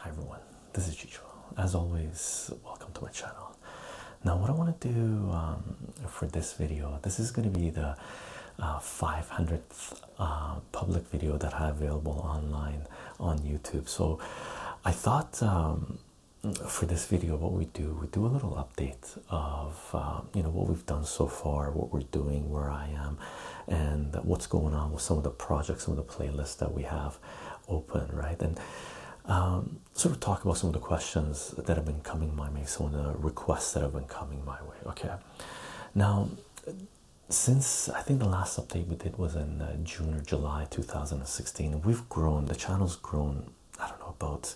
Hi everyone, this is Chicho. As always, welcome to my channel. Now, what I want to do um, for this video, this is going to be the 500th uh, uh, public video that I have available online on YouTube. So, I thought um, for this video, what we do, we do a little update of um, you know what we've done so far, what we're doing, where I am, and what's going on with some of the projects, some of the playlists that we have open, right? And um, sort of talk about some of the questions that have been coming my way, some of the requests that have been coming my way. Okay, now since I think the last update we did was in uh, June or July 2016, we've grown, the channel's grown, I don't know, about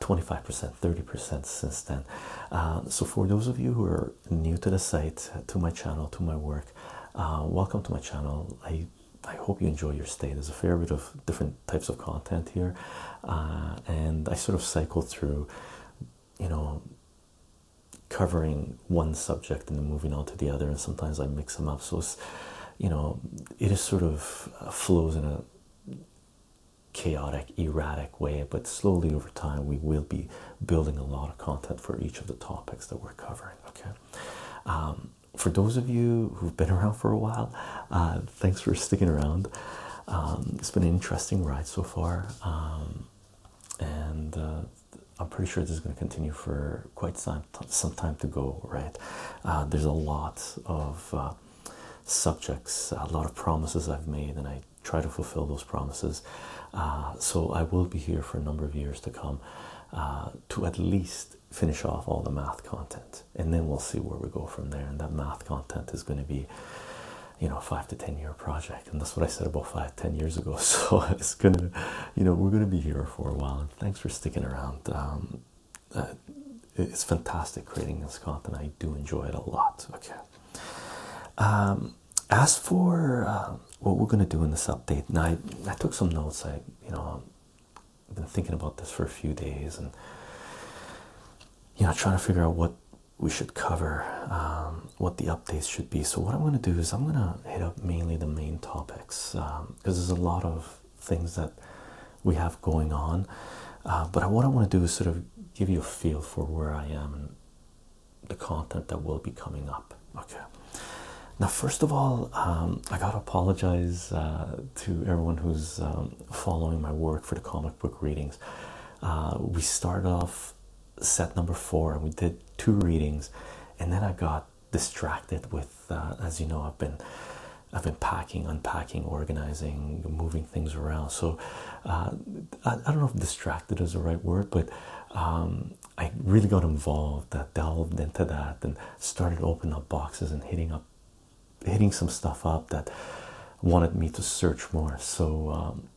25%, uh, 30% since then. Uh, so, for those of you who are new to the site, to my channel, to my work, uh, welcome to my channel. I I hope you enjoy your stay. There's a fair bit of different types of content here, and I sort of cycle through, you know, covering one subject and then moving on to the other, and sometimes I mix them up. So it's you know, it just sort of uh, flows in a chaotic, erratic way, but slowly over time, we will be building a lot of content for each of the topics that we're covering. Okay. Um, for those of you who've been around for a while, uh, thanks for sticking around. Um, it's been an interesting ride so far. Um, and uh, I'm pretty sure this is going to continue for quite some some time to go, right? Uh, there's a lot of uh, subjects, a lot of promises I've made, and I try to fulfill those promises. Uh, so I will be here for a number of years to come to at least finish off all the math content, and then we'll see where we go from there. And that math content is going to be you know five to ten year project and that's what i said about five ten years ago so it's gonna you know we're gonna be here for a while and Thanks for sticking around. Um, uh, it's fantastic creating this content. I do enjoy it a lot. Okay. Um, as for uh, what we're gonna do in this update, now I, took some notes. I, you know, have um, been thinking about this for a few days, and you know, trying to figure out what we should cover, um, what the updates should be. So what I'm gonna do is I'm gonna hit up mainly the main topics because there's a lot of things that we have going on. Uh, but what I want to do is sort of give you a feel for where I am and the content that will be coming up. Okay. Now, first of all, um, I gotta apologize uh, to everyone who's um, following my work for the comic book readings. Uh, we started off set number four and we did two readings, and then I got distracted with uh, as you know I've been I've been packing, unpacking, organizing, moving things around. So uh, I, don't know if distracted is the right word, but um, I really got involved, that uh, delved into that, and started opening up boxes and hitting up, hitting some stuff up that wanted me to search more. So um,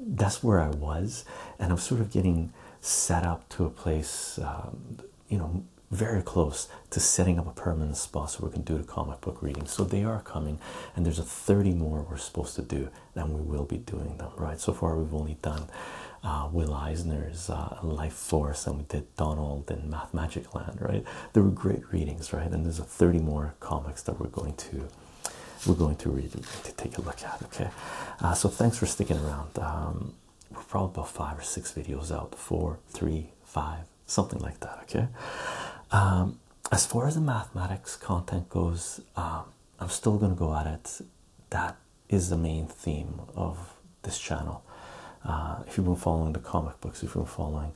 that's where I was, and I'm sort of getting set up to a place um, you know very close to setting up a permanent spot so we can do the comic book reading. So they are coming, and there's a 30 more we're supposed to do, and we will be doing them, right? So far, we've only done uh, Will Eisner's uh, Life Force, and we did Donald and Math Magic Land, right? There were great readings, right? And there's a 30 more comics that we're going to we're going to read to take a look at. Okay, uh, so thanks for sticking around. Um, we're probably about five or six videos out four, three, five, something like that. Okay. Um, as far as the mathematics content goes, um, I'm still going to go at it. That is the main theme of this channel. Uh, if you've been following the comic books, if you've been following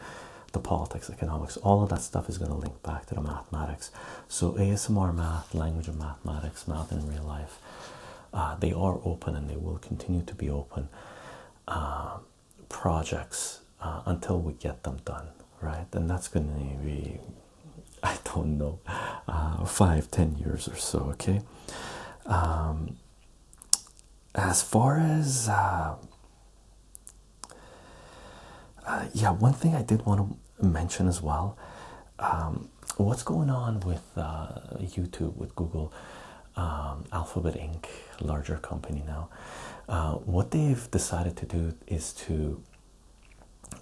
the politics, economics, all of that stuff is going to link back to the mathematics. So, ASMR math, language of mathematics, math in real life, uh, they are open and they will continue to be open uh, projects uh, until we get them done, right? And that's going to be, I don't know, five, ten years or so, okay? Um, as far as, yeah, one thing I did want to mention as well um, what's going on with uh, YouTube, with Google, um, Alphabet Inc., larger company now? Uh, what they've decided to do is to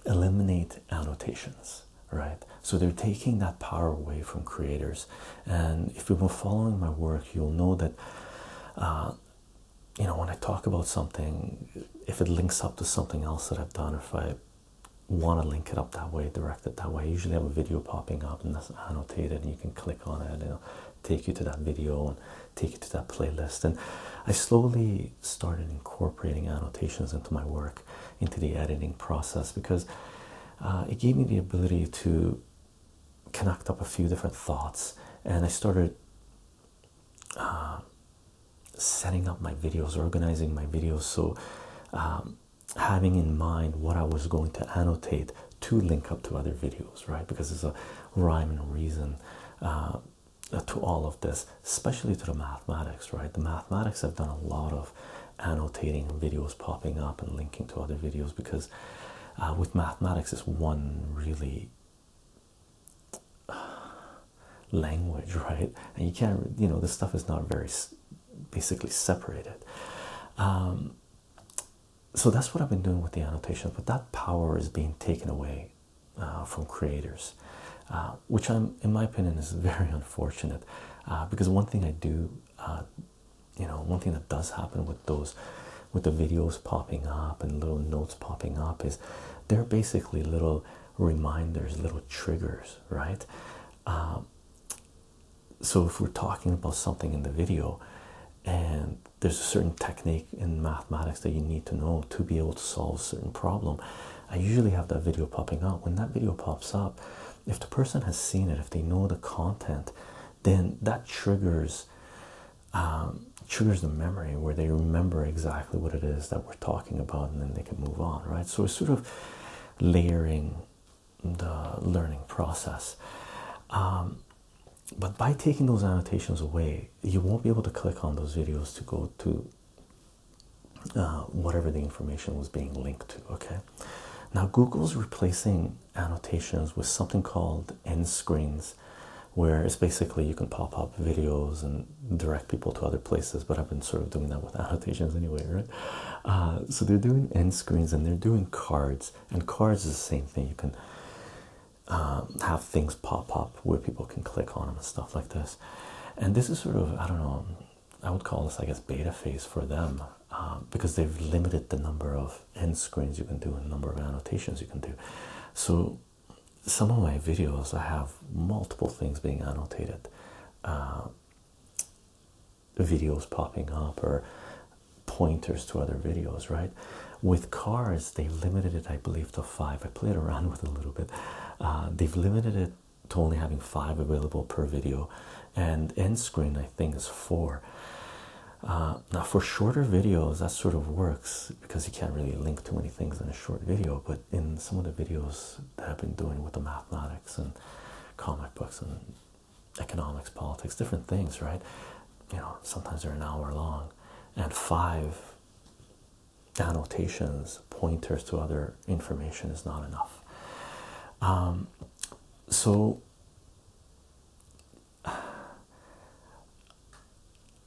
eliminate annotations, right? So they're taking that power away from creators. And if you've been following my work, you'll know that. Uh, you know, when I talk about something, if it links up to something else that I've done, if I want to link it up that way, direct it that way. usually have a video popping up and that's annotated, and you can click on it, and it'll take you to that video and take you to that playlist. And I slowly started incorporating annotations into my work, into the editing process, because uh, it gave me the ability to connect up a few different thoughts, and I started. Uh, setting up my videos organizing my videos so um, having in mind what I was going to annotate to link up to other videos, right? Because there's a rhyme and reason uh, to all of this, especially to the mathematics, right? The mathematics I've done a lot of annotating videos popping up and linking to other videos because uh, with mathematics is one really uh, language, right? And you can't, you know, this stuff is not very basically separated. Um, so that's what I've been doing with the annotations, but that power is being taken away uh, from creators, uh, which I'm, in my opinion, is very unfortunate. Uh, because one thing I do, you know, one thing that does happen with those, with the videos popping up and little notes popping up is, they're basically little reminders, little triggers, right? Um, so if we're talking about something in the video and there's a certain technique in mathematics that you need to know to be able to solve a certain problem i usually have that video popping up when that video pops up if the person has seen it if they know the content then that triggers um, triggers the memory where they remember exactly what it is that we're talking about and then they can move on right so it's sort of layering the learning process. Um, but by taking those annotations away, you won't be able to click on those videos to go to uh, whatever the information was being linked to. Okay, now Google's replacing annotations with something called end screens, where it's basically you can pop up videos and direct people to other places. But I've been sort of doing that with annotations anyway, right? Uh, so they're doing end screens and they're doing cards, and cards is the same thing. You can um, have things pop up where people can click on them and stuff like this. And this is sort of I don't know. I would call this I guess beta phase for them uh, because they've limited the number of end screens you can do and the number of annotations you can do. So some of my videos I have multiple things being annotated. Uh, videos popping up or pointers to other videos, right? With cars, they limited it, I believe, to five. I played around with a little bit. Uh, they've limited it to only having five available per video, and end screen, I think, is four. Uh, now, for shorter videos, that sort of works because you can't really link too many things in a short video, but in some of the videos that I've been doing with the mathematics and comic books and economics, politics, different things, right? You know, sometimes they're an hour long, and five annotations, pointers to other information is not enough. Um, so,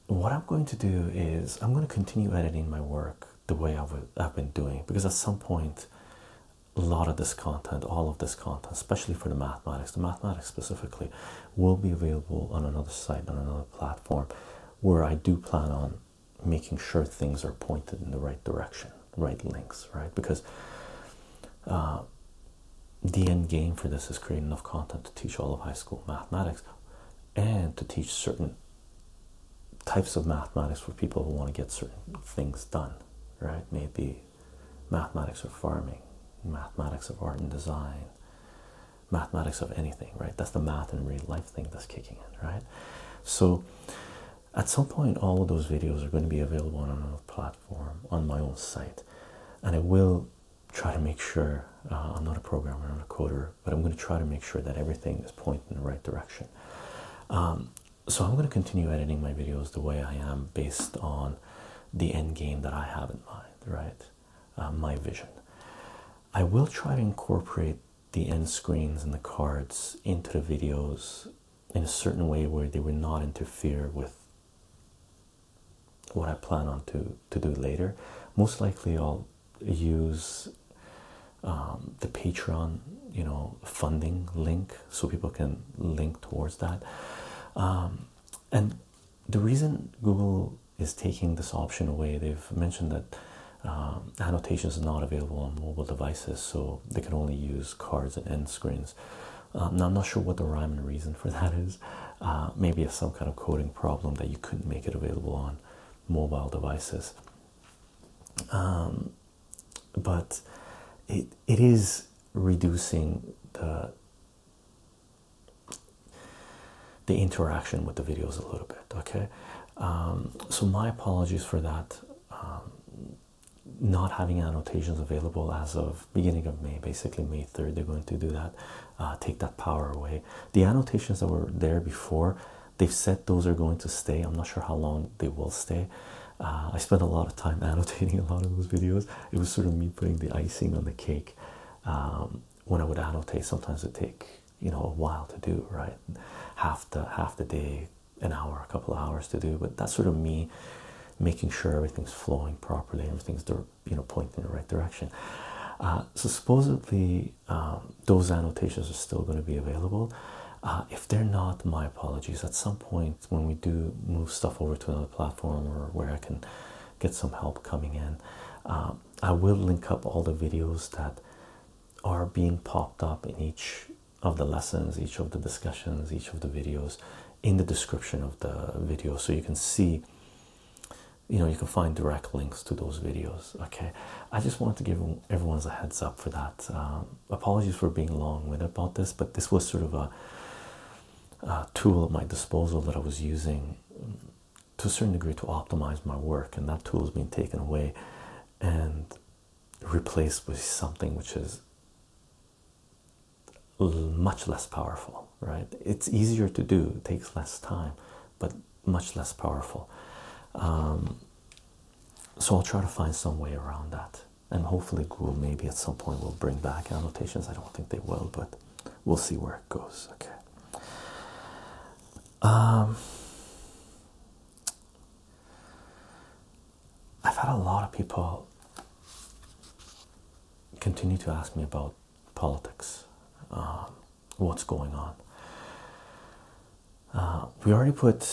what I'm going to do is I'm going to continue editing my work the way I would, I've been doing because at some point a lot of this content, all of this content, especially for the mathematics, the mathematics specifically, will be available on another site, on another platform, where I do plan on making sure things are pointed in the right direction, right links, right? Because uh, the end game for this is creating enough content to teach all of high school mathematics and to teach certain types of mathematics for people who want to get certain things done, right? Maybe mathematics of farming, mathematics of art and design, mathematics of anything, right? That's the math in real life thing that's kicking in, right? So at some point, all of those videos are going to be available on another platform on my own site, and I will try to make sure uh, I'm not a programmer, I'm a coder, but I'm going to try to make sure that everything is pointing in the right direction. Um, so I'm going to continue editing my videos the way I am based on the end game that I have in mind, right? Uh, my vision. I will try to incorporate the end screens and the cards into the videos in a certain way where they will not interfere with what I plan on to to do later. Most likely, I'll use um, the Patreon, you know, funding link so people can link towards that. Um, and the reason Google is taking this option away, they've mentioned that um, annotations are not available on mobile devices, so they can only use cards and end screens. now, I'm not sure what the rhyme and reason for that is. Uh, maybe it's some kind of coding problem that you couldn't make it available on mobile devices but it it is reducing the the interaction with the videos a little bit okay um, so my apologies for that um, not having annotations available as of beginning of May basically May 3rd they're going to do that uh, take that power away the annotations that were there before They've said those are going to stay. I'm not sure how long they will stay. Uh, I spent a lot of time annotating a lot of those videos. It was sort of me putting the icing on the cake. Um, when I would annotate, sometimes it take you know a while to do, right? Half the half the day, an hour, a couple hours to do. But that's sort of me making sure everything's flowing properly, everything's you know pointing in the right direction. Uh, so supposedly um, those annotations are still going to be available. Uh, if they're not, my apologies. At some point, when we do move stuff over to another platform or where I can get some help coming in, um, I will link up all the videos that are being popped up in each of the lessons, each of the discussions, each of the videos in the description of the video so you can see you know you can find direct links to those videos okay i just want to give everyone's a heads up for that um, apologies for being long-winded about this, but this was sort of a, tool at my disposal that I was using to a certain degree to optimize my work, and that tool has been taken away and replaced with something which is much less powerful, right? It's easier to do, takes less time, but much less powerful. Um, so I'll try to find some way around that. And hopefully, Google maybe at some point will bring back annotations. I don't think they will, but we'll see where it goes. Okay. Um, I've had a lot of people continue to ask me about politics, um, what's going on. Uh, we already put,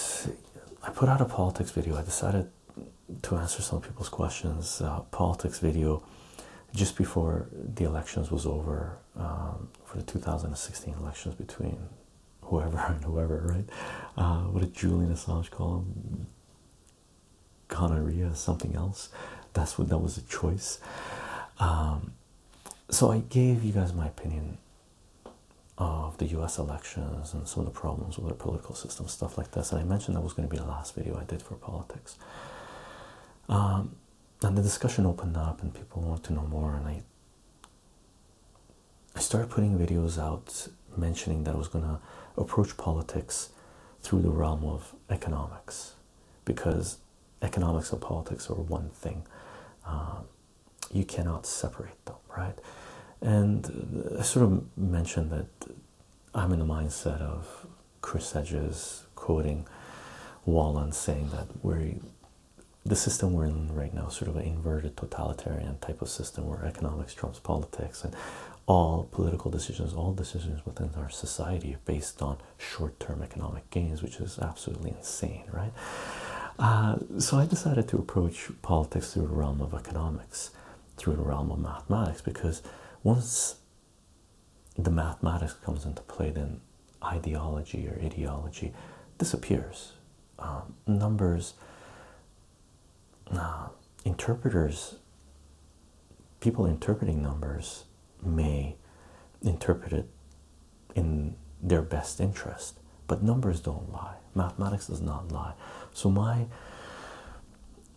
I put out a politics video. I decided to answer some people's questions. Uh, politics video just before the elections was over um, for the 2016 elections between whoever and whoever, right? Uh, what did Julian Assange call him? Gonorrhea, something else. That's what that was a choice. Um, so I gave you guys my opinion of the US elections and some of the problems with our political system, stuff like this. And I mentioned that was going to be the last video I did for politics. Um, and the discussion opened up, and people wanted to know more. And I, I started putting videos out mentioning that I was going to approach politics through the realm of economics because economics and politics are one thing. Um, you cannot separate them, right? And uh, I sort of mentioned that I'm in the mindset of Chris Edges quoting Wallen saying that we're the system we're in right now, sort of an inverted totalitarian type of system where economics trumps politics and all political decisions, all decisions within our society are based on short term economic gains, which is absolutely insane, right? Uh, so I decided to approach politics through the realm of economics, through the realm of mathematics, because once the mathematics comes into play, then ideology or ideology disappears. Um, numbers, uh, interpreters, people interpreting numbers may interpret it in their best interest but numbers don't lie mathematics does not lie so my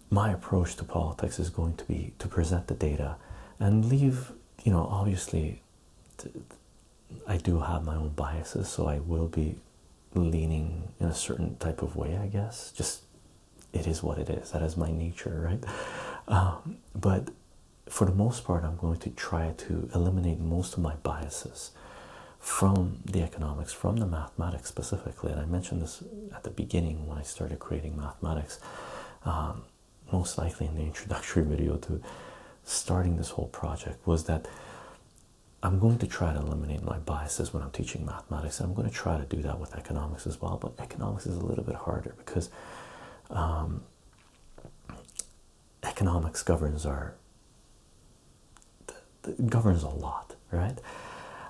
my approach to politics is going to be to present the data and leave you know obviously I do have my own biases so I will be leaning in a certain type of way I guess just it is what it is that is my nature right um, but for the most part I'm going to try to eliminate most of my biases from the economics, from the mathematics specifically. And I mentioned this at the beginning when I started creating mathematics, um, most likely in the introductory video to starting this whole project, was that I'm going to try to eliminate my biases when I'm teaching mathematics. And I'm going to try to do that with economics as well, but economics is a little bit harder because. Um, economics governs our governs a lot, right?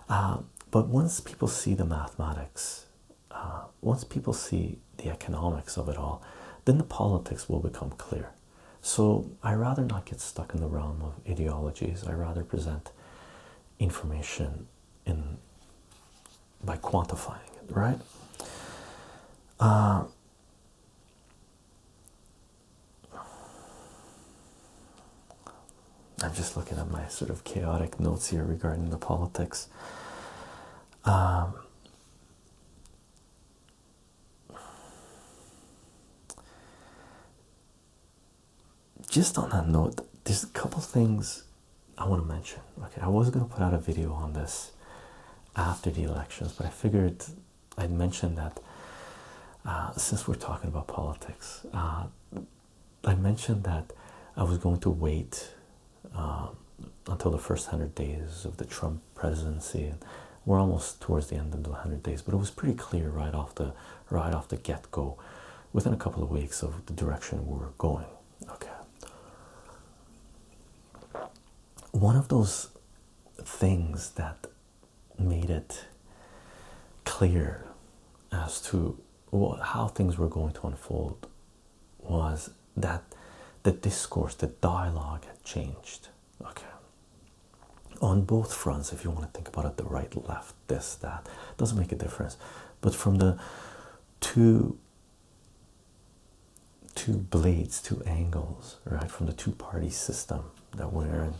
Um, but once people see the mathematics, uh, once people see the economics of it all, then the politics will become clear. So I rather not get stuck in the realm of ideologies. I rather present information in by quantifying it, right? Uh, I'm just looking at my sort of chaotic notes here regarding the politics. Um, just on that note, there's a couple things I want to mention. Okay, I was going to put out a video on this after the elections, but I figured I mentioned that uh, since we're talking about politics, uh, I mentioned that I was going to wait uh, until the first hundred days of the Trump presidency. We're almost towards the end of the hundred days, but it was pretty clear right off the right off the get go, within a couple of weeks of the direction we were going. Okay. One of those things that made it clear as to how things were going to unfold was that the discourse, the dialogue had changed. Okay. On both fronts, if you want to think about it, the right, left, this, that, doesn't make a difference. But from the two two blades, two angles right, from the two party system that we're in.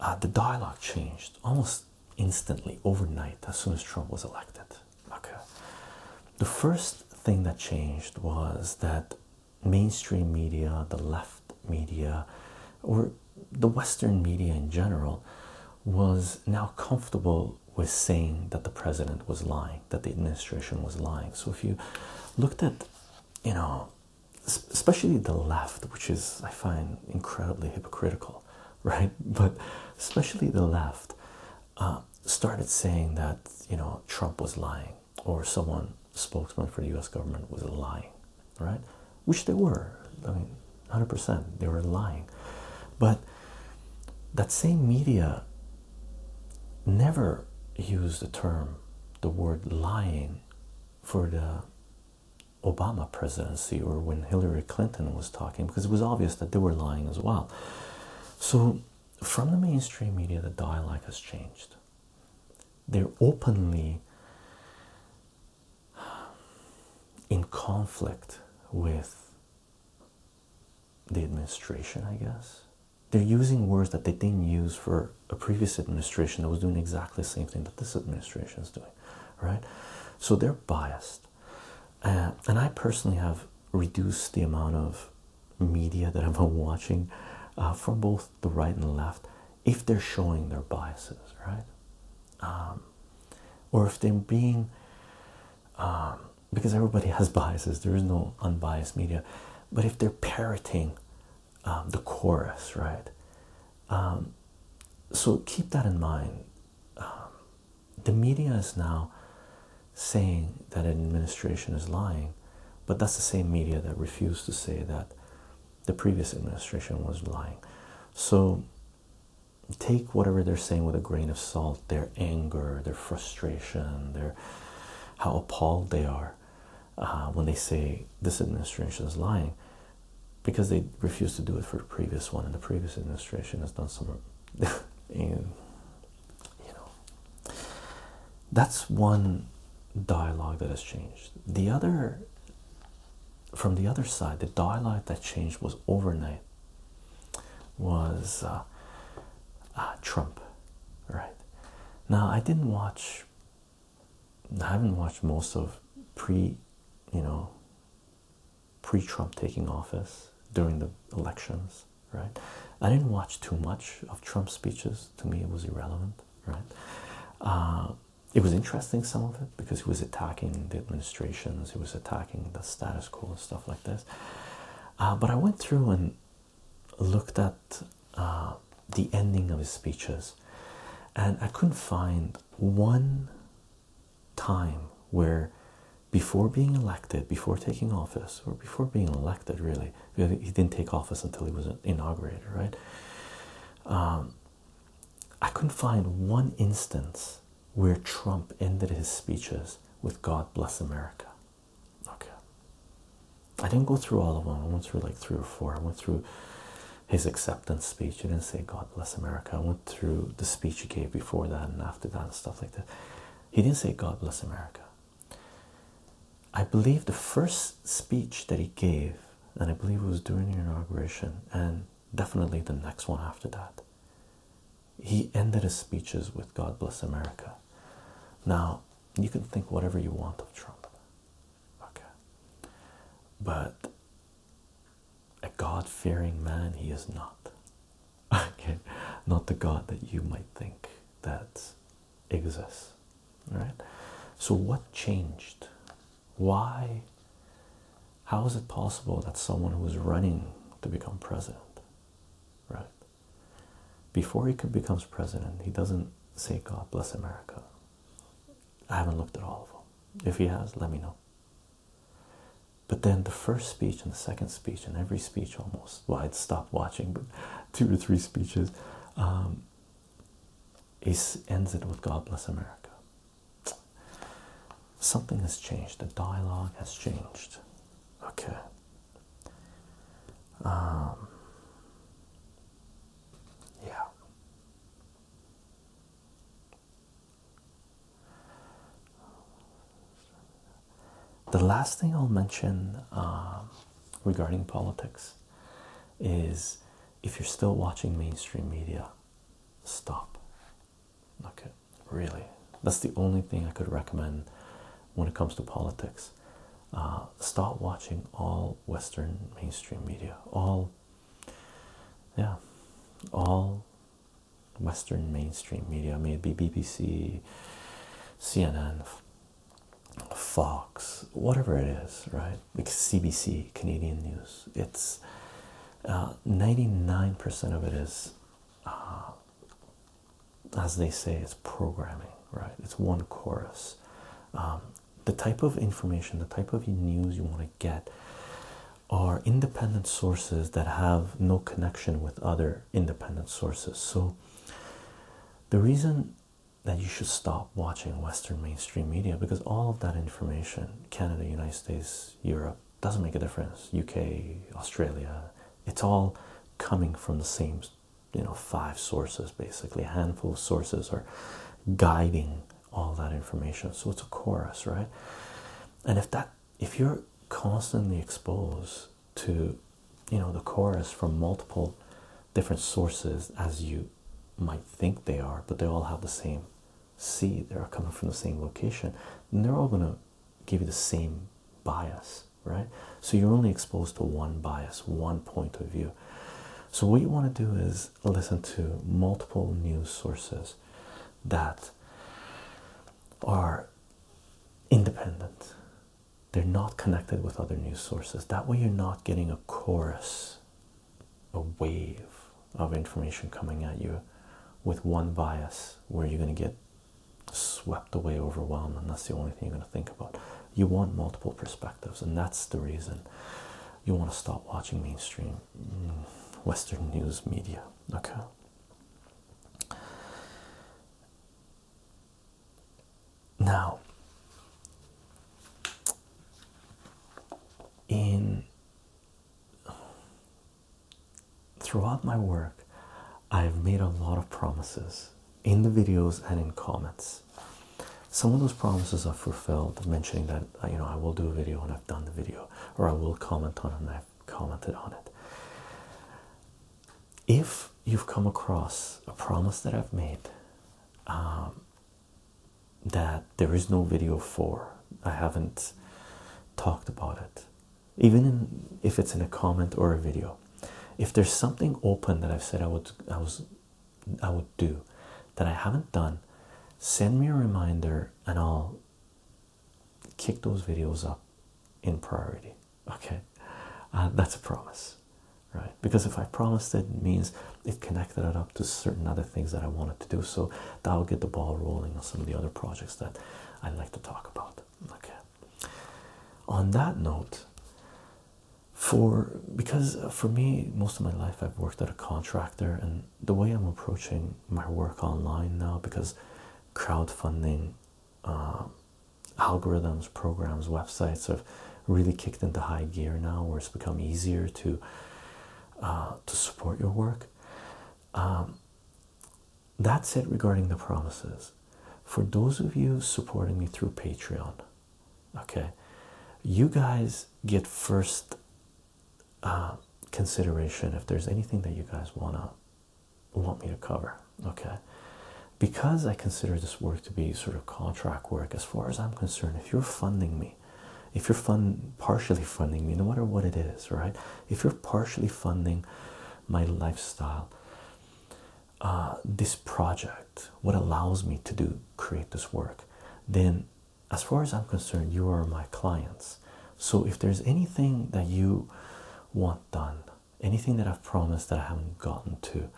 Uh, the dialogue changed almost instantly overnight as soon as Trump was elected. Okay, the first thing that changed was that mainstream media, the left media, or the Western media in general, was now comfortable with saying that the president was lying, that the administration was lying. So if you looked at, you know, especially the left, which is I find incredibly hypocritical, right? But especially the left uh, started saying that you know Trump was lying or someone spokesman for the U.S. government was lying, right? Which they were. I mean, hundred percent, they were lying. But that same media never used the term, the word lying for the Obama presidency or when Hillary Clinton was talking because it was obvious that they were lying as well. So, from the mainstream media, the dialect has changed. They're openly in conflict with the administration, I guess. They're using words that they didn't use for a previous administration that was doing exactly the same thing that this administration is doing, right? So they're biased. Uh, and I personally have reduced the amount of media that i am watching uh, from both the right and left if they're showing their biases, right? Um, or if they're being, um, because everybody has biases, there is no unbiased media, but if they're parroting um, the chorus, right? Um, so keep that in mind. Um, the media is now saying that an administration is lying, but that's the same media that refused to say that the previous administration was lying. So take whatever they're saying with a grain of salt, their anger, their frustration, their how appalled they are. Uh, when they say this administration is lying because they refuse to do it for the previous one, and the previous administration has done some. you know, that's one dialogue that has changed. The other, from the other side, the dialogue that changed was overnight. Was uh, uh, Trump, right? Now I didn't watch I haven't watched most of pre, you know, pre Trump taking office during the elections, right? I didn't watch too much of Trump's speeches. To me, it was irrelevant, right? Uh, it was interesting, some of it, because he was attacking the administrations, he was attacking the status quo and stuff like this. Uh, but I went through and looked at the ending of his speeches, and I couldn't find one time where, before being elected, before taking office, or before being elected, really, he didn't take office until he was inaugurated, right? Um, I couldn't find one instance where Trump ended his speeches with God bless America. Okay. I didn't go through all of them. I went through like three or four. I went through his acceptance speech. He didn't say God bless America. I went through the speech he gave before that and after that and stuff like that. He didn't say God bless America. I believe the first speech that he gave, and I believe it was during the inauguration, and definitely the next one after that, he ended his speeches with God bless America. Now, you can think whatever you want of Trump. Okay, but a God fearing man, he is not. Okay, not the God that you might think that exists. All right, so what changed? Why? How is it possible that someone who is running to become president, right? Before he becomes president, he doesn't say, God bless America, I haven't looked at all of them. If he has, let me know. But then the first speech and the second speech, and every speech almost, well, I'd stop watching, but two or three speeches, um, he ends it with God bless America. Something has changed. The dialogue has changed. Okay. Um, yeah. The last thing I'll mention um, regarding politics is if you're still watching mainstream media, stop. Okay, really. That's the only thing I could recommend when it comes to politics. Uh, stop watching all Western mainstream media, all, yeah, all Western mainstream media, may it be BBC, CNN, Fox, whatever it is, right? Like CBC, Canadian News. It's 99% uh, of it is, uh, as they say, it's programming, right? It's one chorus. Um, the type of information, the type of news you want to get are independent sources that have no connection with other independent sources. So, the reason that you should stop watching Western mainstream media because all of that information Canada, United States, Europe doesn't make a difference, UK, Australia it's all coming from the same you know five sources basically a handful of sources or guiding all that information. So it's a chorus, right? And if that if you're constantly exposed to you know the chorus from multiple different sources as you might think they are, but they all have the same seed, they're coming from the same location, and they're all gonna give you the same bias, right? So you're only exposed to one bias, one point of view. So what you want to do is listen to multiple news sources that are independent. They're not connected with other news sources. That way, you're not getting a chorus, a wave of information coming at you with one bias where you're going to get swept away, overwhelmed, and that's the only thing you're going to think about. You want multiple perspectives, and that's the reason you want to stop watching mainstream mm, Western news media. Okay. Now, in throughout my work, I've made a lot of promises in the videos and in comments. Some of those promises are fulfilled, mentioning that uh, you know I will do a video and I've done the video, or I will comment on it and I've commented on it. If you've come across a promise that I've made um, that there is no video for, I haven't talked about it, even if it's in a comment or a video, if there's something open that I've said I would I was I would do that I haven't done, send me a reminder and I'll kick those videos up in priority. Okay, uh, that's a promise, right? Because if I promised it, it means it connected it up to certain other things that I wanted to do, so that'll get the ball rolling on some of the other projects that I'd like to talk about. Okay, on that note, for because uh, for me most of my life I've worked at a contractor and the way I'm approaching my work online now because crowdfunding uh, algorithms programs websites have really kicked into high gear now where it's become easier to uh, to support your work um, that's it regarding the promises for those of you supporting me through Patreon okay you guys get first uh, consideration if there's anything that you guys want to want me to cover okay because i consider this work to be sort of contract work as far as i'm concerned if you're funding me if you're fund partially funding me no matter what it is right if you're partially funding my lifestyle uh, this project what allows me to do create this work then as far as i'm concerned you are my clients so if there's anything that you want done anything that i've promised that i haven't gotten to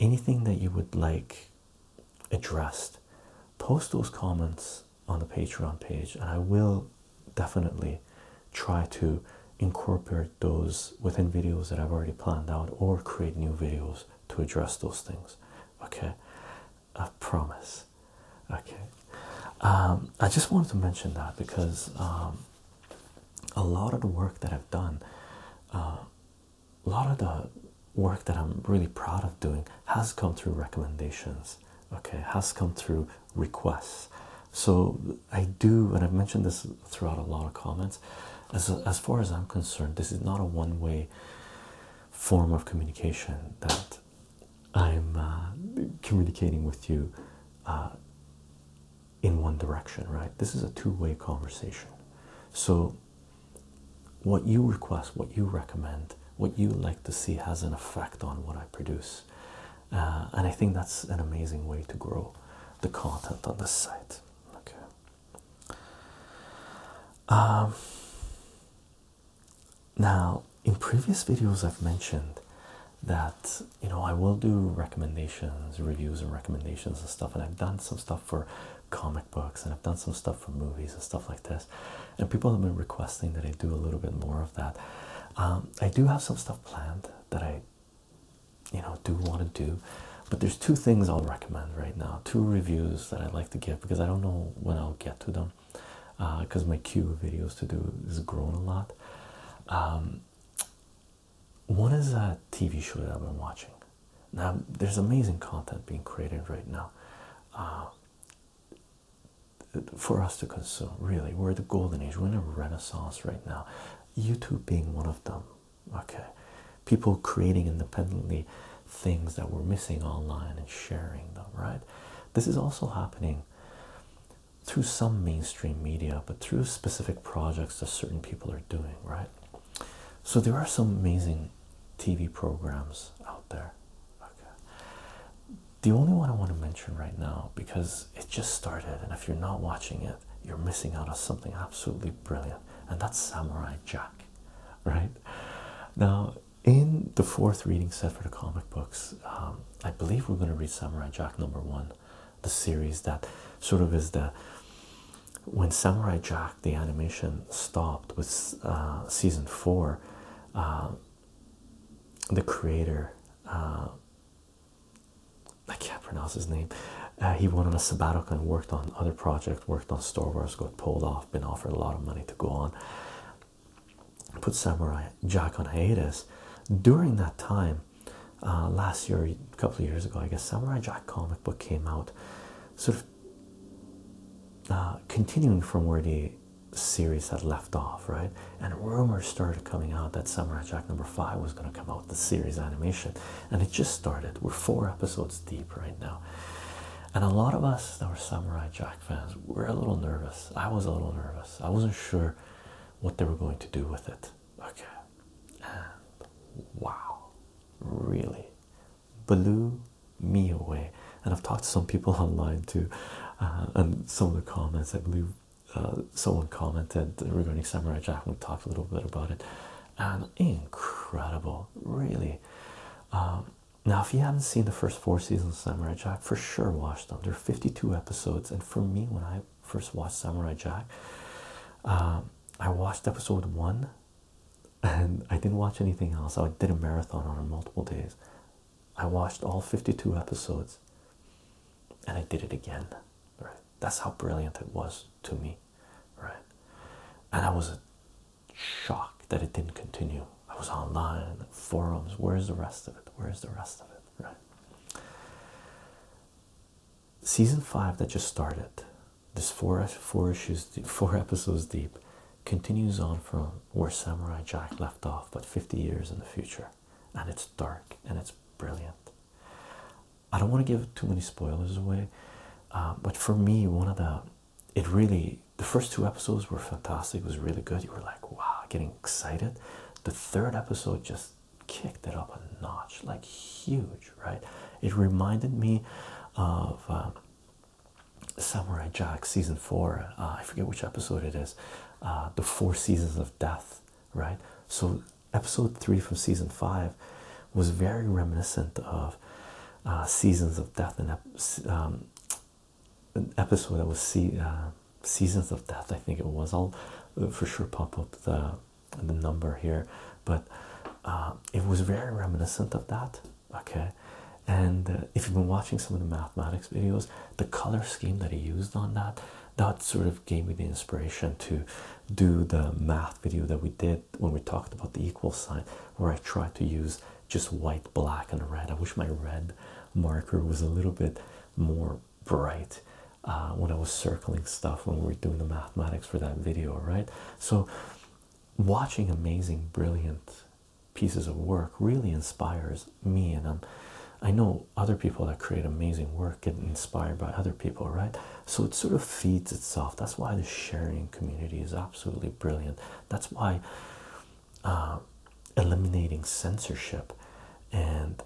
anything that you would like addressed post those comments on the patreon page and i will definitely try to incorporate those within videos that i've already planned out or create new videos to address those things okay i promise okay um, i just wanted to mention that because um, a lot of the work that i've done uh, a lot of the work that i'm really proud of doing has come through recommendations okay has come through requests so i do and i've mentioned this throughout a lot of comments as, as far as i'm concerned this is not a one-way form of communication that I'm uh, communicating with you uh, in one direction, right? This is a two way conversation. So, what you request, what you recommend, what you like to see has an effect on what I produce. Uh, and I think that's an amazing way to grow the content on the site. Okay. Um, now, in previous videos, I've mentioned that you know I will do recommendations, reviews, and recommendations and stuff, and I've done some stuff for comic books and I've done some stuff for movies and stuff like this. And people have been requesting that I do a little bit more of that. Um, I do have some stuff planned that I, you know, do want to do. But there's two things I'll recommend right now, two reviews that I'd like to give because I don't know when I'll get to them because uh, my queue of videos to do is grown a lot. Um, one is a TV show that I've been watching. Now, there's amazing content being created right now uh, for us to consume, really. We're at the golden age, we're in a renaissance right now. YouTube being one of them, okay people creating independently things that we're missing online and sharing them right this is also happening through some mainstream media but through specific projects that certain people are doing right so there are some amazing tv programs out there okay the only one i want to mention right now because it just started and if you're not watching it you're missing out on something absolutely brilliant and that's samurai jack right? Now, in the fourth reading set for the comic books, um, I believe we're going to read Samurai Jack number one, the series that sort of is the when Samurai Jack the animation stopped with uh, season four. Uh, the creator, uh, I can't pronounce his name. he went on a sabbatical and worked on other projects. Worked on Star Wars, got pulled off been offered a lot of money to go on. Put Samurai Jack on hiatus. During that time, uh, last year, a couple of years ago, I guess Samurai Jack comic book came out, sort of uh, continuing from where the series had left off, right? And rumors started coming out that Samurai Jack number five was going to come out, the series animation, and it just started. We're four episodes deep right now and a lot of us that were Samurai Jack fans were a little nervous. I was a little nervous. I wasn't sure what they were going to do with it. Okay, wow, really blew me away. And I've talked to some people online too, uh, and some of the comments I believe uh, someone commented regarding Samurai Jack. and We talked a little bit about it and um, incredible, really. Um, now, if you haven't seen the first four seasons of Samurai Jack, for sure watch them. There are 52 episodes, and for me, when I first watched Samurai Jack, um, I watched episode one and I didn't watch anything else. I did a marathon on multiple days. I watched all 52 episodes and I did it again. Right? That's how brilliant it was to me right? And I was shocked that it didn't continue. I was online, forums, where's the rest of it? Where's the rest of it, right? Season five that just started, this four four issues, four episodes deep, continues on from where Samurai Jack left off, but 50 years in the future, and it's dark and it's brilliant. I don't want to give too many spoilers away, uh, but for me, one of the it really the first two episodes were fantastic it was really good you were like wow getting excited the third episode just kicked it up a notch like huge right it reminded me of um, samurai jack season four uh, i forget which episode it is uh, the four seasons of death right so episode three from season five was very reminiscent of uh, seasons of death and um, an episode that was see uh, seasons of death i think it was i'll uh, for sure pop up the the number here but uh, it was very reminiscent of that okay and uh, if you've been watching some of the mathematics videos the color scheme that he used on that that sort of gave me the inspiration to do the math video that we did when we talked about the equal sign, where I tried to use just white, black, and red. I wish my red marker was a little bit more bright uh, when I was circling stuff when we were doing the mathematics for that video, right? So, watching amazing, brilliant pieces of work really inspires me, and I'm, I know other people that create amazing work get inspired by other people, right? So it sort of feeds itself. That's why the sharing community is absolutely brilliant. That's why uh, eliminating censorship and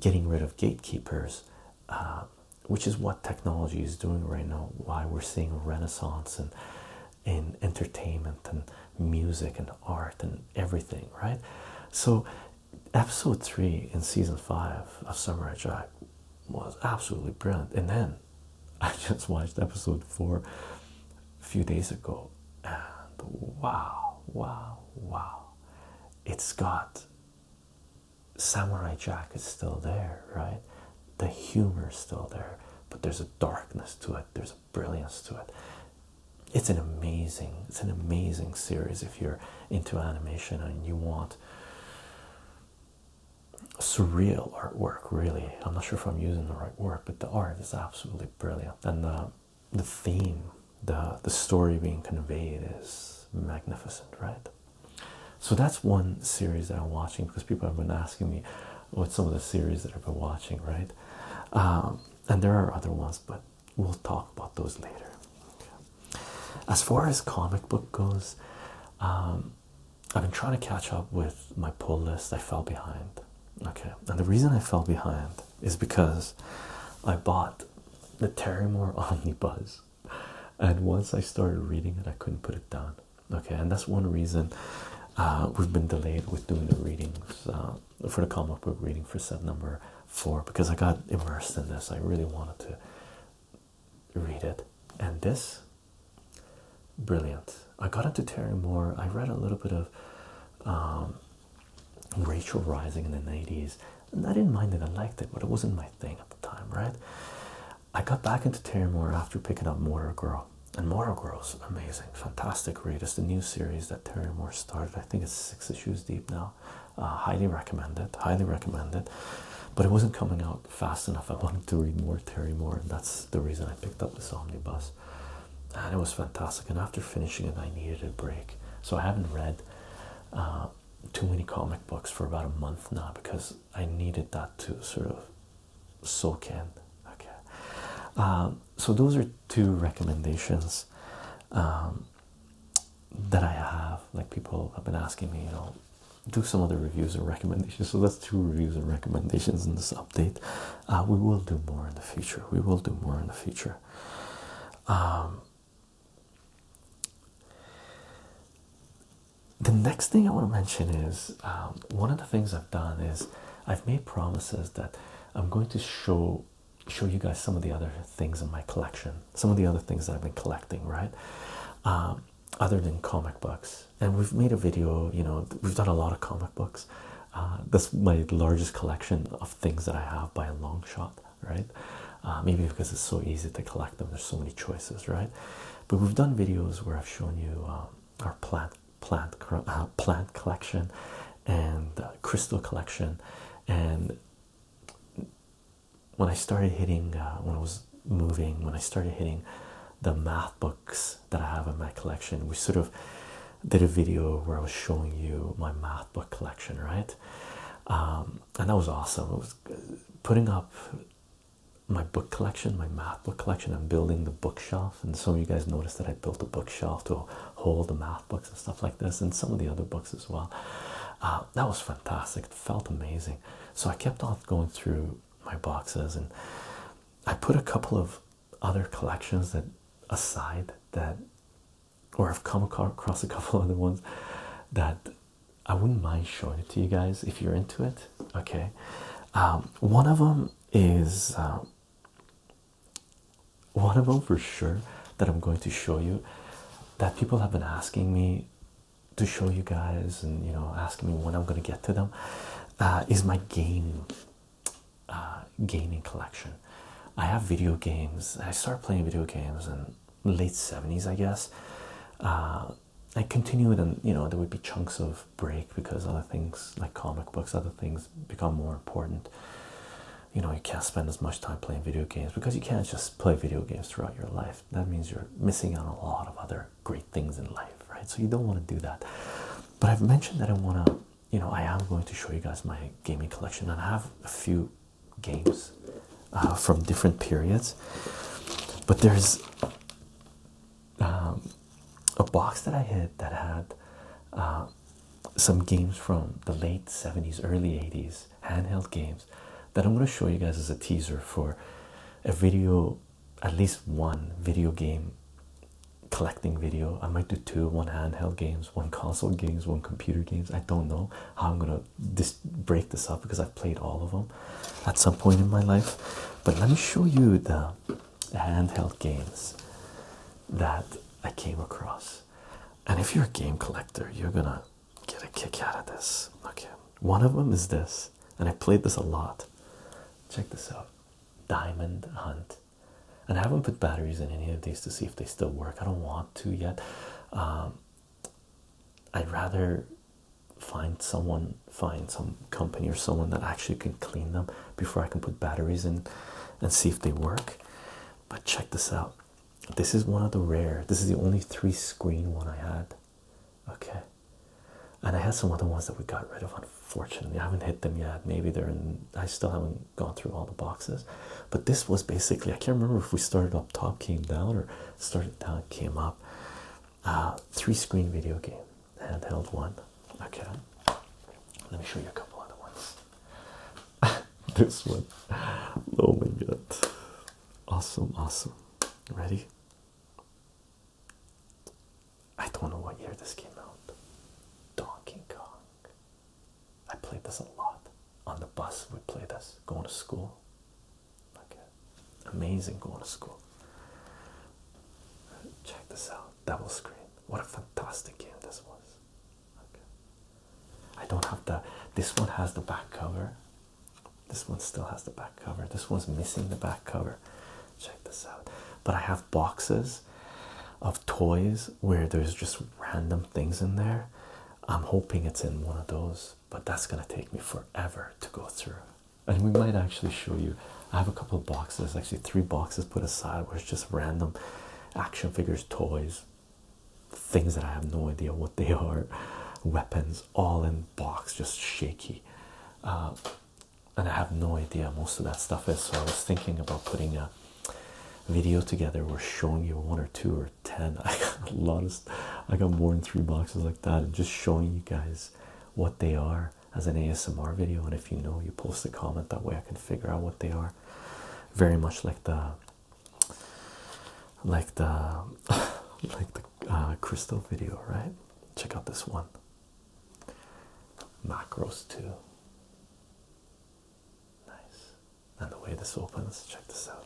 getting rid of gatekeepers, uh, which is what technology is doing right now, why we're seeing a renaissance in, in entertainment and music and art and everything, right? So, episode three in season five of Samurai Jack was absolutely brilliant, and then I just watched episode four a few days ago, and wow, wow, wow. It's got Samurai Jack is still there, right? The humor is still there, but there's a darkness to it, there's a brilliance to it. It's an amazing, it's an amazing series if you're into animation and you want surreal artwork really i'm not sure if i'm using the right word but the art is absolutely brilliant and the the theme the the story being conveyed is magnificent right so that's one series that i'm watching because people have been asking me what some of the series that i've been watching right um, and there are other ones but we'll talk about those later as far as comic book goes um, I've been trying to catch up with my pull list. I fell behind. Okay, and the reason I fell behind is because I bought the Terry Moore Omnibus, and once I started reading it, I couldn't put it down. Okay, and that's one reason uh, we've been delayed with doing the readings uh, for the comic book reading for set number four because I got immersed in this. I really wanted to read it. And this, brilliant. I got into Terry Moore. I read a little bit of um, Rachel Rising in the 90s. And I didn't mind it, I liked it, but it wasn't my thing at the time, right? I got back into Terry Moore after picking up Mortal Girl. And Mortal Girl's amazing, fantastic read. It's the new series that Terry Moore started. I think it's six issues deep now. Uh, highly recommend it, highly recommend it. But it wasn't coming out fast enough. I wanted to read more Terry Moore, and that's the reason I picked up this omnibus. And it was fantastic. And after finishing it, I needed a break. So I haven't read uh, too many comic books for about a month now because I needed that to sort of soak in. Okay. Um, so those are two recommendations um, that I have. Like people have been asking me, you know, do some other reviews and recommendations. So that's two reviews and recommendations in this update. Uh, we will do more in the future. We will do more in the future. Um, the next thing I want to mention is um, one of the things I've done is I've made promises that I'm going to show show you guys some of the other things in my collection, some of the other things that I've been collecting, right? Um, other than comic books. And we've made a video, you know, we've done a lot of comic books. Uh, that's my largest collection of things that I have by a long shot, right? Uh, maybe because it's so easy to collect them, there's so many choices, right? But we've done videos where I've shown you uh, our plant, plant, plant collection, and crystal collection, and when I started hitting, when I was moving, when I started hitting the math books that I have in my collection, we sort of did a video where I was showing you my math book collection, right? Um, and that was awesome. It was uh, putting up my book collection, my math book collection. I'm building the bookshelf, and some of you guys noticed that I built a bookshelf to hold the math books and stuff like this, and some of the other books as well. Uh, that was fantastic. It felt amazing. So I kept on going through my boxes and i put a couple of other collections that aside that or i've come across a couple other ones that i wouldn't mind showing it to you guys if you're into it okay um, one of them is um, one of them for sure that i'm going to show you that people have been asking me to show you guys and you know asking me when I'm gonna get to them uh, is my game uh, gaming collection. I have video games. I started playing video games in late 70s, I guess. Uh, I continued and you know there would be chunks of break because other things like comic books, other things become more important. You know, you can't spend as much time playing video games because you can't just play video games throughout your life. That means you're missing out a lot of other great things in life, right? So you don't want to do that. But I've mentioned that I want to, you know, I am going to show you guys my gaming collection, and I have a few games uh, from different periods. But there's um, a box that I had that had uh, some games from the late 70s, early 80s, handheld games that I'm going to show you guys as a teaser for a video at least one video game collecting video. I might do two one handheld games, one console games, one computer games. I don't know how I'm gonna break this up because I've played all of them at some point in my life. But let me show you the handheld games that I came across. And if you're a game collector, you're gonna get a kick out of this. Okay, one of them is this and I played this a lot. Check this out Diamond Hunt. And I haven't put batteries in any of these to see if they still work. I don't want to yet. Um, I'd rather find someone, find some company or someone that actually can clean them before I can put batteries in and see if they work. But check this out. This is one of the rare, this is the only three screen one I had. Okay, and I had some other ones that we got rid of. Unfortunately, I haven't hit them yet. Maybe they're in. I still haven't gone through all the boxes, but this was basically. I can't remember if we started up top, came down, or started down, came up. Uh, three screen video game, handheld one. Okay, let me show you a couple other ones. this one, oh my god, awesome, awesome. Ready? I don't know what year this came out. Donkey Kong. I played this a lot on the bus. We played this going to school. Okay, amazing going to school. Check this out. Double screen. What a fantastic game this was. Okay. I don't have the. This one has the back cover. This one still has the back cover. This one's missing the back cover. Check this out. But I have boxes of toys where there's just random things in there. I'm hoping it's in one of those, but that's gonna take me forever to go through. And we might actually show you. I have a couple of boxes, actually, three boxes put aside where it's just random action figures, toys, things that I have no idea what they are, weapons, all in box, just shaky. Uh, and I have no idea most of that stuff is. So I was thinking about putting a video together We're showing you one or two or ten. I got a I got more than three boxes like that, and just showing you guys what they are as an ASMR video. And if you know, you post a comment that way, I can figure out what they are. Very much like the, like the, like the uh, crystal video, right? Check out this one macros too. Nice. And the way this opens, check this out.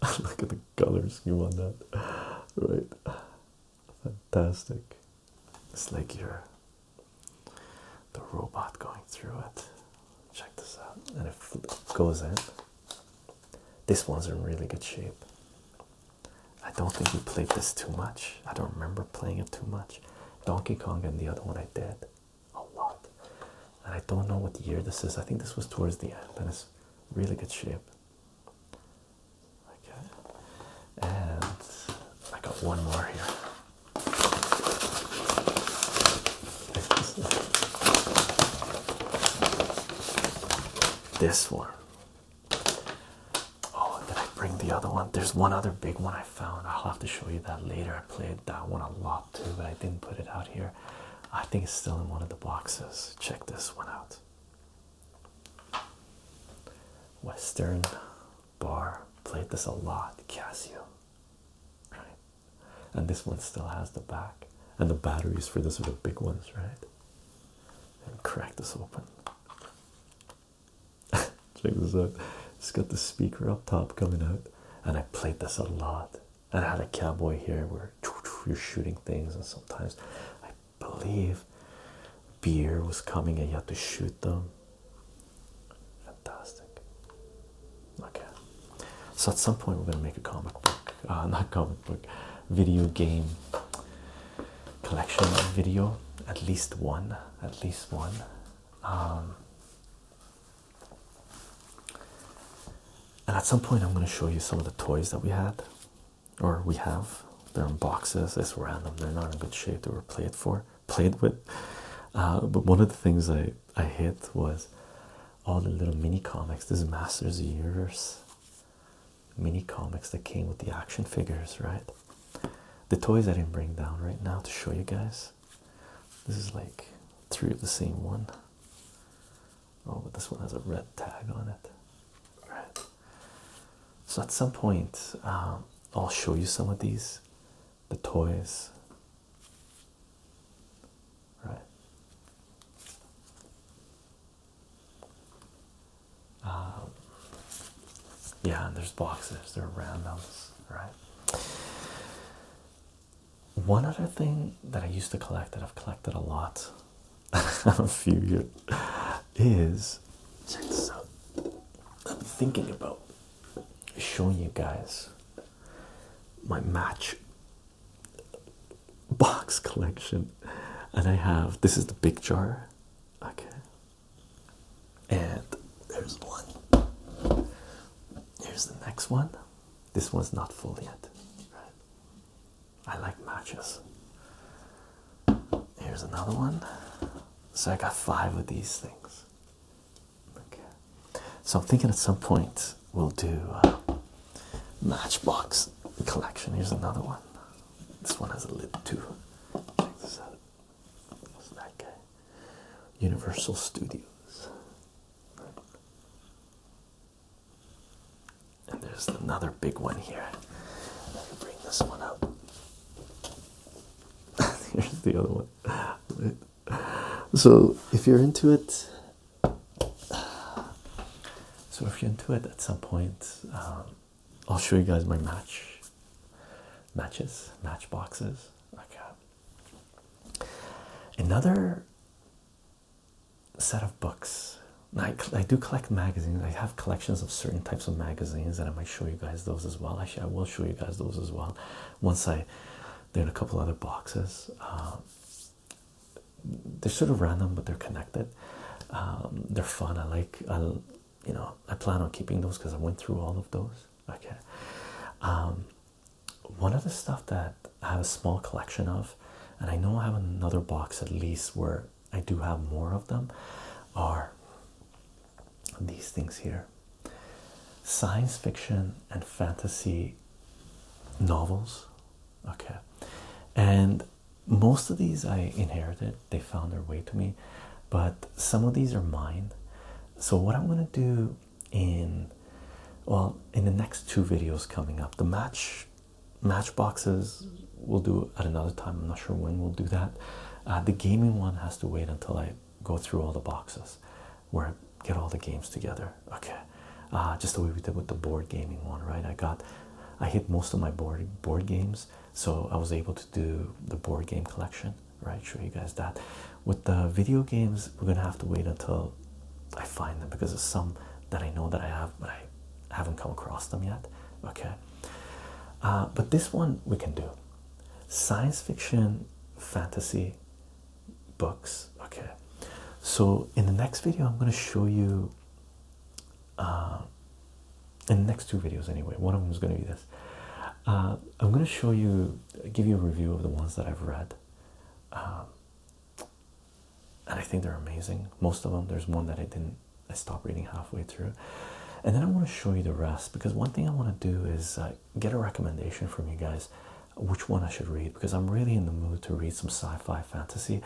Look at the color scheme on that. Right. Fantastic. It's like you're the robot going through it. Check this out. And it goes in. This one's in really good shape. I don't think we played this too much. I don't remember playing it too much. Donkey Kong and the other one I did a lot. And I don't know what year this is. I think this was towards the end and it's really good shape. Okay. And I got one more here. This one. Oh, did I bring the other one? There's one other big one I found. I'll have to show you that later. I played that one a lot too, but I didn't put it out here. I think it's still in one of the boxes. Check this one out. Western Bar played this a lot, Casio. and this one still has the back, and the batteries for this are the big ones, right? and crack this open. Check this out. It's got the speaker up top coming out, and I played this a lot. And I had a cowboy here where you're shooting things, and sometimes I believe beer was coming and you had to shoot them. Fantastic. Okay. So at some point we're gonna make a comic book, uh, not comic book, video game collection video, at least one, at least one. Um, and at some point, I'm going to show you some of the toys that we had, or we have. They're in boxes. It's random. They're not in good shape. They were played for, played with. Uh, but one of the things I I hit was all the little mini comics. This Masters of Universe mini comics that came with the action figures, right? The toys I didn't bring down right now to show you guys. This is like three of the same one. Oh, but this one has a red tag on it. All right. So at some point, um, I'll show you some of these, the toys. Right. Uh, yeah, and there's boxes, there are randoms, right? One other thing that I used to collect that I've collected a lot a few years is I'm thinking about showing you guys my match box collection, and I have this is the big jar Okay. And there's one. Here's the next one. This one's not full yet. Right? I like matches. Here's another one. So I got five of these things. Okay. So I'm thinking at some point we'll do a uh, matchbox collection. Here's another one. This one has a lid too. Check this out. What's that guy? Universal Studios. And there's another big one here. Let me bring this one up. Here's the other one. So if you're into it, so if you're into it at some point, um, I'll show you guys my match matches, match boxes. Okay. Another set of books. I, I do collect magazines. I have collections of certain types of magazines, and I might show you guys those as well. Actually, I will show you guys those as well once I. They're in a couple other boxes. Uh, they're sort of random, but they're connected. Um, they're fun. I like. you know, I plan on keeping those because I went through all of those. Okay. Um, one of the stuff that I have a small collection of, and I know I have another box at least where I do have more of them, are these things here. Science fiction and fantasy novels. Okay. And most of these I inherited, they found their way to me, but some of these are mine. So, what I'm going to do in well, in the next two videos coming up, the match matchboxes we'll do at another time. I'm not sure when we'll do that. Uh, the gaming one has to wait until I go through all the boxes where I get all the games together. Okay, uh, just the way we did with the board gaming one, right? I got I hit most of my board board games so I was able to do the board game collection, right? Show you guys that. With the video games, we're gonna have to wait until I find them because there's some that I know that I have, but I haven't come across them yet. Okay, uh, but this one we can do science fiction, fantasy books. Okay, so in the next video, I'm gonna show you uh, in next two videos anyway. One of them is going to be this. Uh, I'm going to show you, give you a review of the ones that I've read. Um, and I think they're amazing. Most of them, there's one that I didn't, I stopped reading halfway through. And then I want to show you the rest because one thing I want to do is uh, get a recommendation from you guys which one I should read because I'm really in the mood to read some sci fi fantasy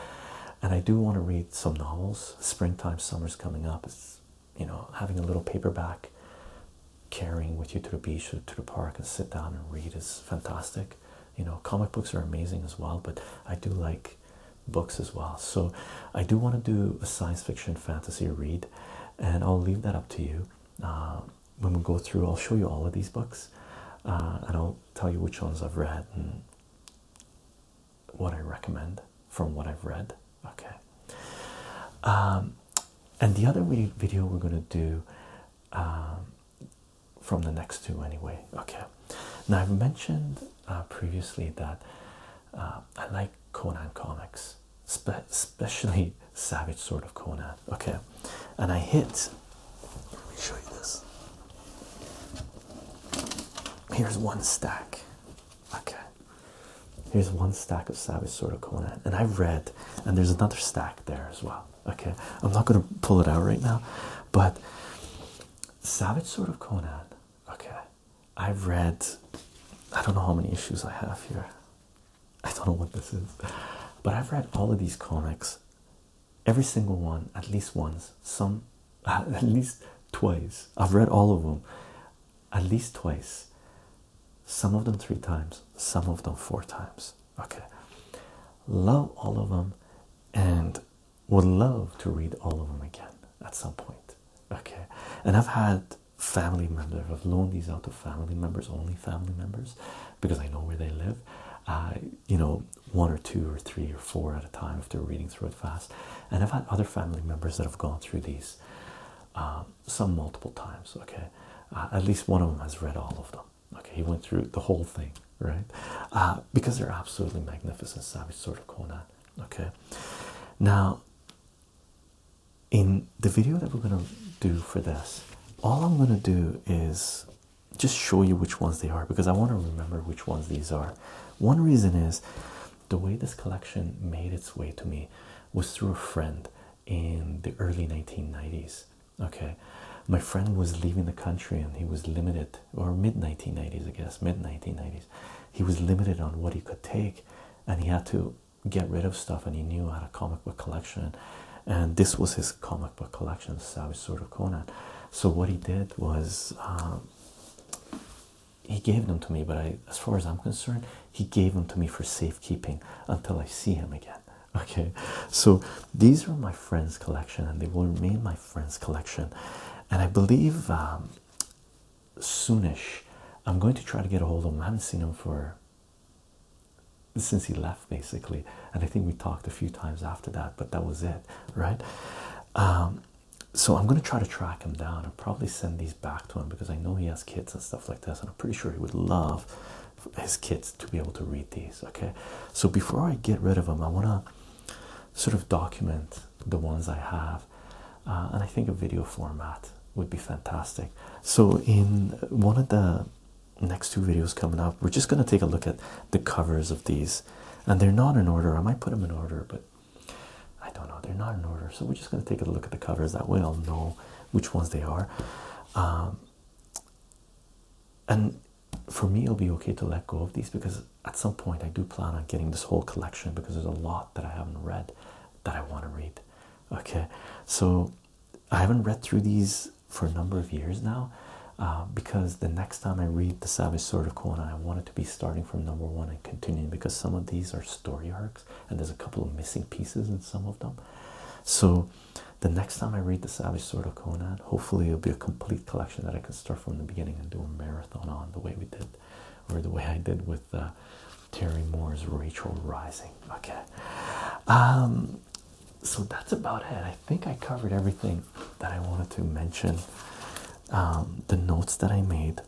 and I do want to read some novels. Springtime, summer's coming up. It's you know having a little paperback carrying with you to the beach or to the park and sit down and read is fantastic. You know, comic books are amazing as well, but I do like books as well. So I do want to do a science fiction fantasy read, and I'll leave that up to you. Uh, when we go through, I'll show you all of these books, uh, and I'll tell you which ones I've read what I recommend from what I've read. Okay. Um, and the other video we're going to do um, from the next two, anyway. Okay. Now, I've mentioned uh, previously that uh, I like Conan comics, especially Savage sort of Conan. Okay. And I hit, let me show you this. Here's one stack. Okay. Here's one stack of Savage Sword of Conan, and I've read, and there's another stack there as well. Okay, I'm not gonna pull it out right now, but Savage Sword of Conan. Okay, I've read. I don't know how many issues I have here. I don't know what this is, but I've read all of these comics, every single one at least once. Some at least twice. I've read all of them at least twice, some of them three times, some of them four times. Okay, love all of them and would love to read all of them again at some point. Okay, and I've had family members, I've loaned these out to family members, only family members, because I know where they live. I, you know, one or two or three or four at a time if they're reading through it fast and I've had other family members that have gone through these, um, some multiple times. Okay, uh, at least one of them has read all of them. Okay, he went through the whole thing, right? Uh, because they're absolutely magnificent, savage sort of Conan. Okay, now in the video that we're gonna do for this, all I'm gonna do is just show you which ones they are because I want to remember which ones these are. One reason is the way this collection made its way to me was through a friend in the early 1990s. Okay, my friend was leaving the country and he was limited, or mid 1990s, I guess, mid 1990s. He was limited on what he could take and he had to get rid of stuff. And he knew I had a comic book collection, and this was his comic book collection, So Savage Sword of Conan. So, what he did was um, he gave them to me, but as far as I'm concerned, he gave them to me for safekeeping until I see him again. Okay, so these are my friends' collection, and they will remain my friends' collection. And I believe um, soonish, I'm going to try to get a hold of him. I haven't seen him for since he left, basically. And I think we talked a few times after that, but that was it, right? Um, so I'm gonna try to track him down and probably send these back to him because I know he has kids and stuff like this, and I'm pretty sure he would love his kids to be able to read these. Okay, so before I get rid of them, I wanna sort of document the ones I have, uh, and I think a video format would be fantastic. So in one of the next two videos coming up, we're just gonna take a look at the covers of these, and they're not in order. I might put them in order, but I don't know, they're not in order, so we're just going to take a look at the covers that way. I'll know which ones they are. Um, and for me, it'll be okay to let go of these because at some point I do plan on getting this whole collection because there's a lot that I haven't read that I want to read. Okay, so I haven't read through these for a number of years now uh, because the next time I read The Savage Sword of Conan, I want to to be starting from number one and continuing because some of these are story arcs and there's a couple of missing pieces in some of them. So, the next time I read The Savage Sword of Conan, hopefully it'll be a complete collection that I can start from the beginning and do a marathon on the way we did, or the way I did with uh, Terry Moore's Rachel Rising. Okay. Um, so that's about it. I think I covered everything that I wanted to mention um, the notes that I made.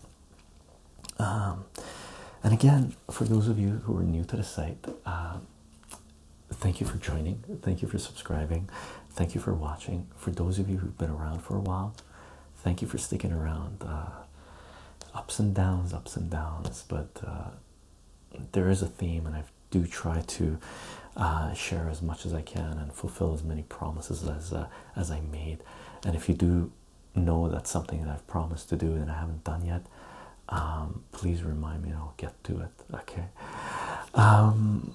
Um, and again, for those of you who are new to the site, um, thank you for joining. Thank you for subscribing. Thank you for watching. For those of you who've been around for a while, thank you for sticking around. Uh, ups and downs, ups and downs, but uh, there is a theme, and I do try to uh, share as much as I can and fulfill as many promises as as I made. And if you do know that's something that I've promised to do and I haven't done yet, um, please remind me and I'll get to it. Okay. Um,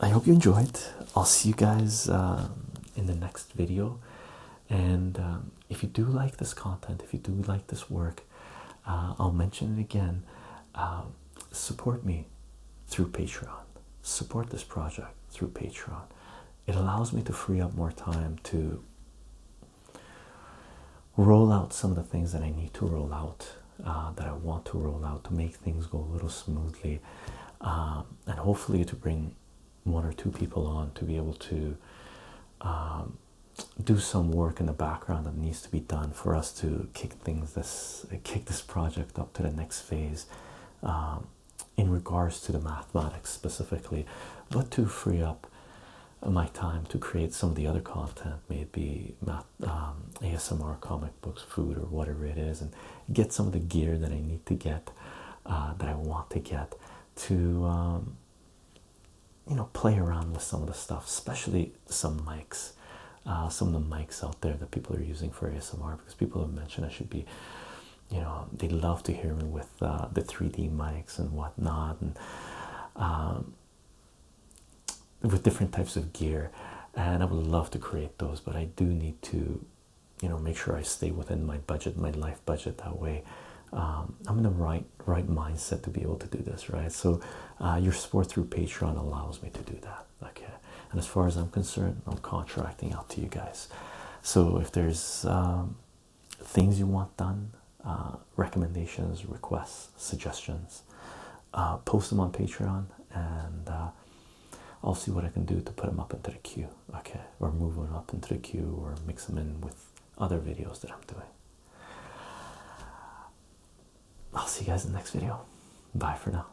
I hope you enjoyed. I'll see you guys um, in the next video. And if you do like this content, if you do like this work, uh, I'll mention it again. support me through Patreon support this project through Patreon. It allows me to free up more time to roll out some of the things that I need to roll out, uh, that I want to roll out to make things go a little smoothly, um, and hopefully to bring one or two people on to be able to um, do some work in the background that needs to be done for us to kick things this kick this project up to the next phase um, in regards to the mathematics specifically, but to free up my time to create some of the other content, maybe math, um, ASMR, comic books, food, or whatever it is, and get some of the gear that I need to get, uh, that I want to get, to um, you know play around with some of the stuff, especially some mics, uh, some of the mics out there that people are using for ASMR because people have mentioned I should be, you know, they love to hear me with uh, the 3D mics and whatnot, and um, with different types of gear. And I would love to create those, but I do need to, you know, make sure I stay within my budget, my life budget. That way, um, I'm in the right right mindset to be able to do this, right? So, uh, your support through Patreon allows me to do that okay and as far as i'm concerned i'm contracting out to you guys so if there's um, things you want done uh, recommendations requests suggestions uh, post them on patreon and uh, i'll see what i can do to put them up into the queue okay or move them up into the queue or mix them in with other videos that i'm doing I'll see you guys in the next video. Bye for now.